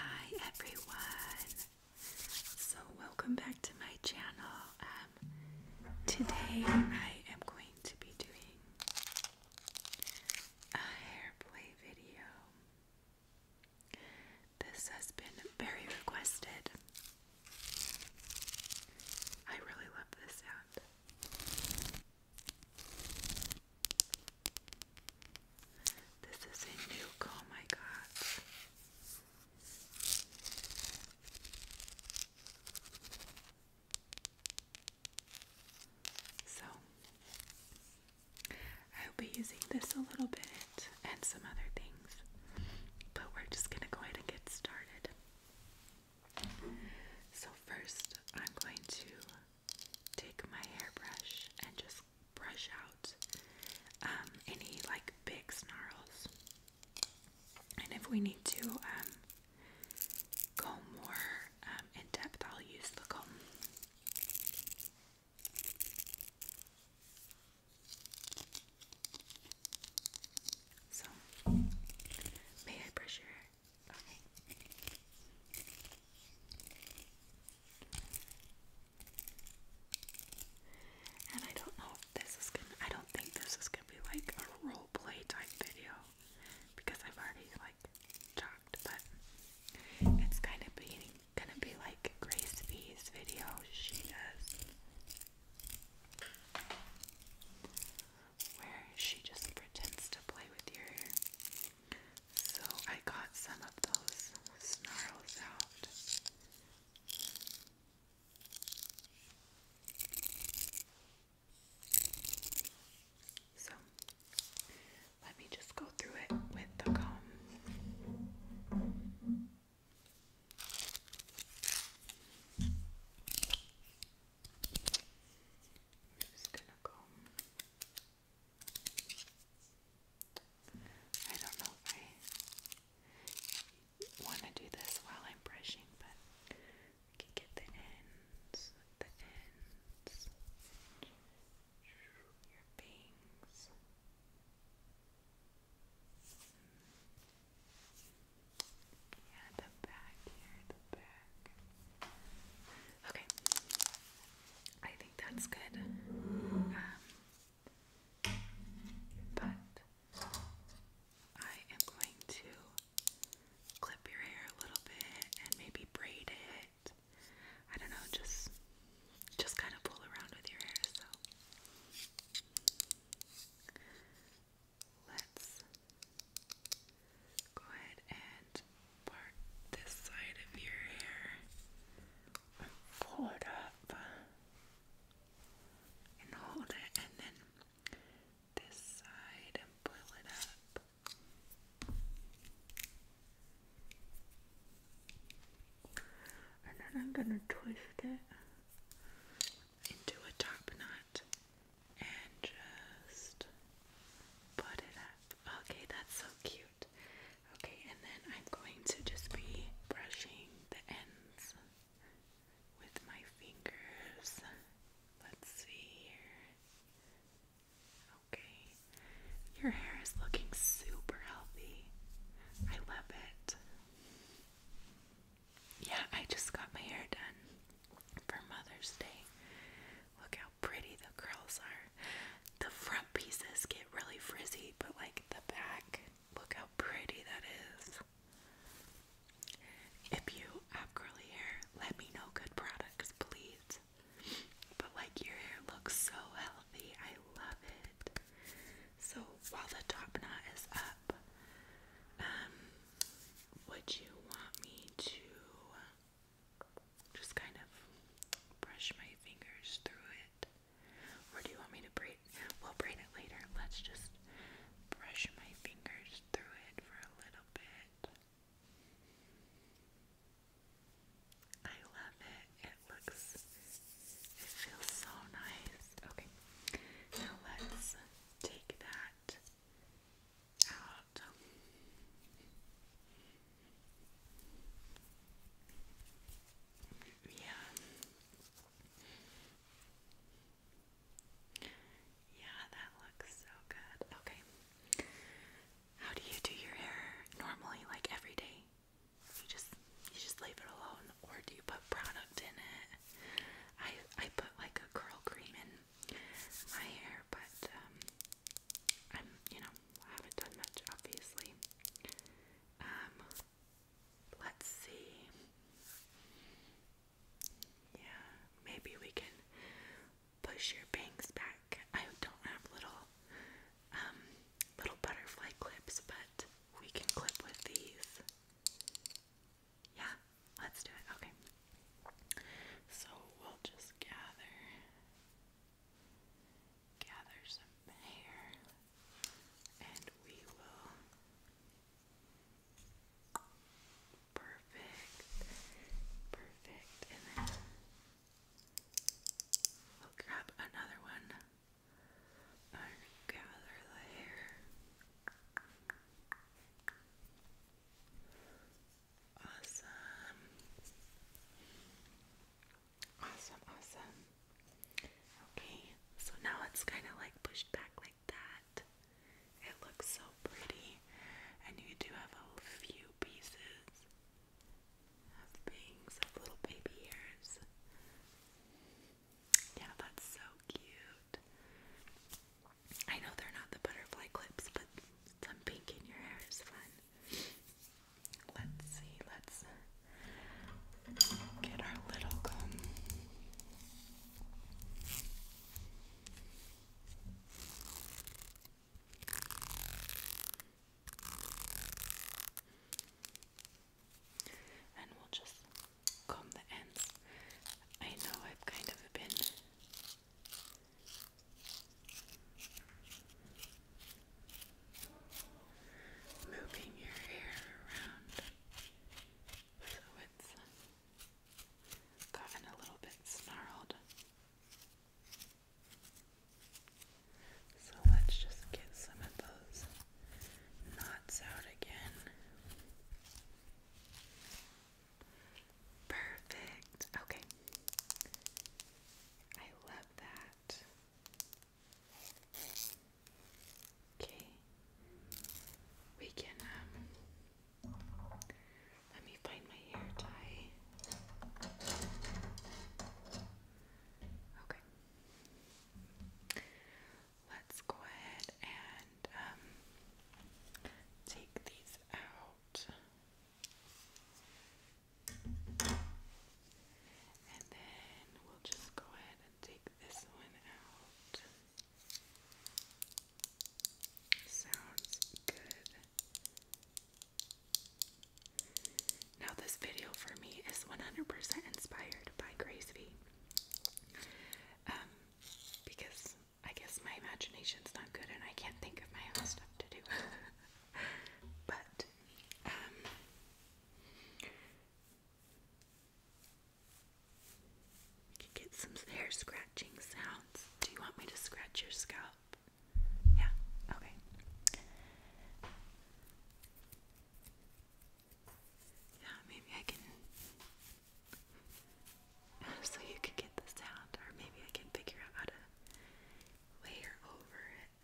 Hi everyone! So welcome back to my channel. Um, today I am going to be doing a hair play video. This has been very requested. I really love this sound. This is a new comb I got. So, I'll be using this a little bit and some other things, but we're just going to go ahead and get started. So, first, I'm going to take my hairbrush and just brush out um, any like big snarls. And if we need to um, go more um, in depth, I'll use the comb. So, may I brush your hair? And I don't know if this is gonna, I don't think this is gonna be like a role play type video because I've already like talked, but it's kind of being, gonna be like Grace V's video she does where she just pretends to play with your so I got some of those snarls out. So let me just go through it with the comb. just gonna comb I don't know if I want to do this while I'm brushing, but I can get the ends, the ends, your bangs. Yeah, the back here, the back. Okay, I think that's good. Um, but I am going to clip your hair a little bit and maybe braid it. I don't know, just just kind of pull around with your hair, so let's go ahead and part this side of your hair and pull it up and hold it, and then this side and pull it up. And then I'm going to twist it into a top knot and just put it up. Okay, that's so cute. Okay, and then I'm going to just be brushing the ends with my fingers. Let's see here. Okay, your hair is looking super healthy. I love it. Yeah, I just got my hair done for Mother's Day. Look how pretty the curls are. The front pieces get really frizzy, but like the back, look how pretty that is. If you have curly hair, let me know good products, please. But like your hair looks so healthy, I love it. So while the top knot is up, um, would you want me to just kind of brush my fingers through it. Or do you want me to braid? We'll braid it later. Let's just brush my fingers through it for a little bit. I love it. It looks, it feels so nice. Okay, now let's take that um, yeah. Yeah, that looks so good. Okay. How do you do your hair normally like every day? You just you just leave it alone or do you put product in it? I I put like a curl cream in my hair, but um, I'm, you know, haven't done much, obviously. Um, let's see. Yeah, maybe we can push your bangs back. I don't have little, um, little butterfly clips, but we can clip with these. Yeah, let's do it. Okay. So we'll just gather gather some hair and we will. Perfect. Perfect. And then we'll grab another one gather the hair. Awesome. Awesome, awesome. Okay, so now it's kind of like pushed back like that. It looks so pretty, and you do have a few pieces of things of little baby ears. Yeah, that's so cute. I know they're not the butterfly clips, but some pink in your hair is fun. Let's see, let's get our little gum. And we'll just comb the ends. I know I've kind of been Moving your hair around so it's uh, gotten a little bit snarled. So let's just get some of those knots out again. Perfect. Okay. I love that. Okay. We can, um, let me find my hair tie. Okay. Let's go ahead and um, take these out. And then we'll just go ahead and take this one out. Sounds good. Now, this video for me is 100% inspired by Grace um, because I guess my imagination's not good and I can't think of my own stuff to do. but, um, can get some hair scratching sounds. Do you want me to scratch your scalp? Yeah, okay. Yeah, maybe I can so you could get the sound, or maybe I can figure out how to layer over it.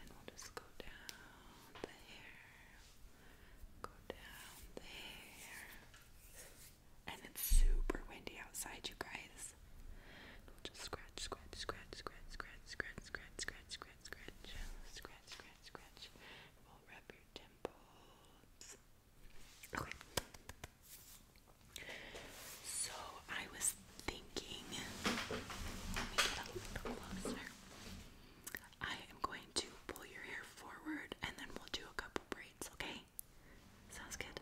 And we'll just go down there, go down there. And it's super windy outside, you guys. We'll just scratch, scratch, scratch, scratch, scratch, scratch, scratch, scratch, scratch, scratch, scratch, scratch, scratch. We'll rub your temples. Okay. So I was thinking, I am going to pull your hair forward and then we'll do a couple braids, okay? Sounds good?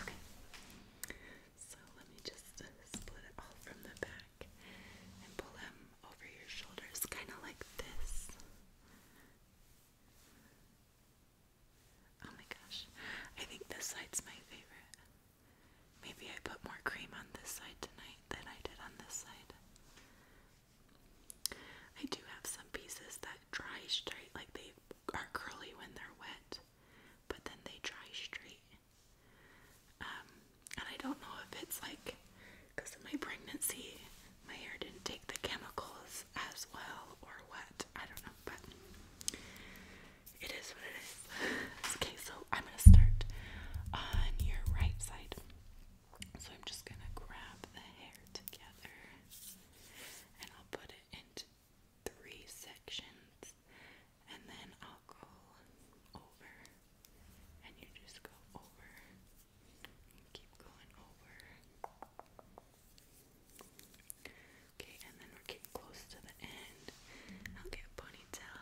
Okay. So let me just split it all from the back and pull them over your shoulders, kind of like this. Oh my gosh. I think this side's my favorite. Maybe I put more cream on this side tonight than I did on this side. I do have some pieces that dry straight, like they are curly when they're wet, but then they dry straight. Um, and I don't know if it's like because of my pregnancy my hair didn't take the chemicals as well or wet. I don't know, but it is what it is. okay, so I'm gonna start on your right side. So I'm just gonna grab the hair together and I'll put it into three sections and then I'll go over and you just go over keep going over Okay, and then we're getting close to the end. I'll get a ponytail.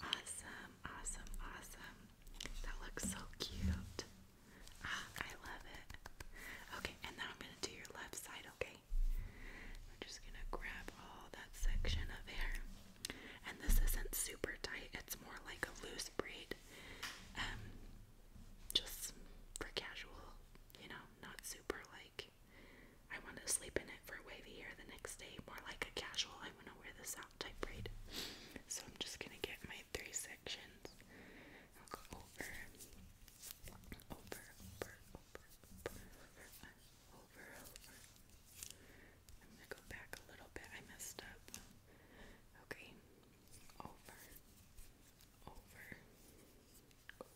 Awesome, awesome, awesome. That looks so cute. Ah, I love it. Okay, and now I'm going to do your left side, okay? Okay, we just gonna grab all that section of hair, and this isn't super tight, it's more like a loose braid, um, just for casual, you know, not super like I want to sleep in it for wavy hair the next day, more like a casual, I want to wear this out type braid. So I'm just gonna get my three sections. I'll go over, over, over, over, over, over, over. I'm gonna go back a little bit. I messed up. Okay, over, over, over.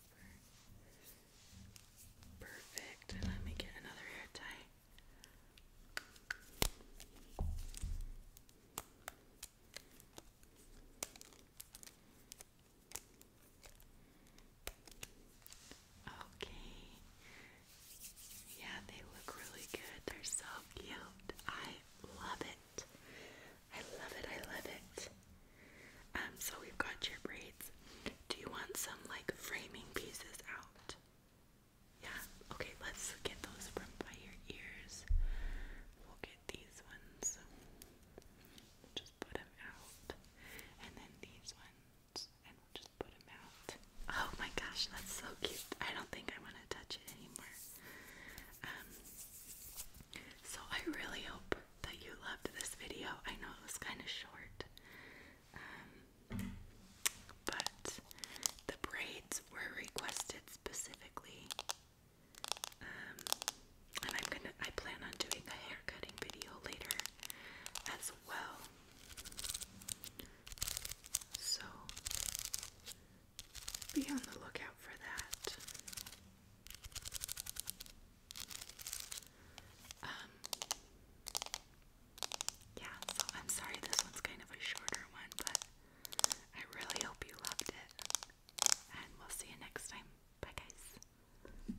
Perfect. let me get another hair tie. Okay. Yeah, they look really good. They're so cute. I love it. I love it. I love it. Um, so we've got your braids. Do you want some like framing pieces out? Yeah. Okay, let's get those from by your ears. We'll get these ones. just put them out. And then these ones. Oh my gosh, that's so cute. I don't think I want to touch it anymore. Um, so I really hope that you loved this video. I know it was kind of short. Um, but the braids were requested specifically. Um, and I'm gonna I plan on doing a hair cutting video later as well. So be on the lookout for that. Um, yeah, I'm sorry this one's kind of a shorter one, but I really hope you loved it. And we'll see you next time. Bye, guys.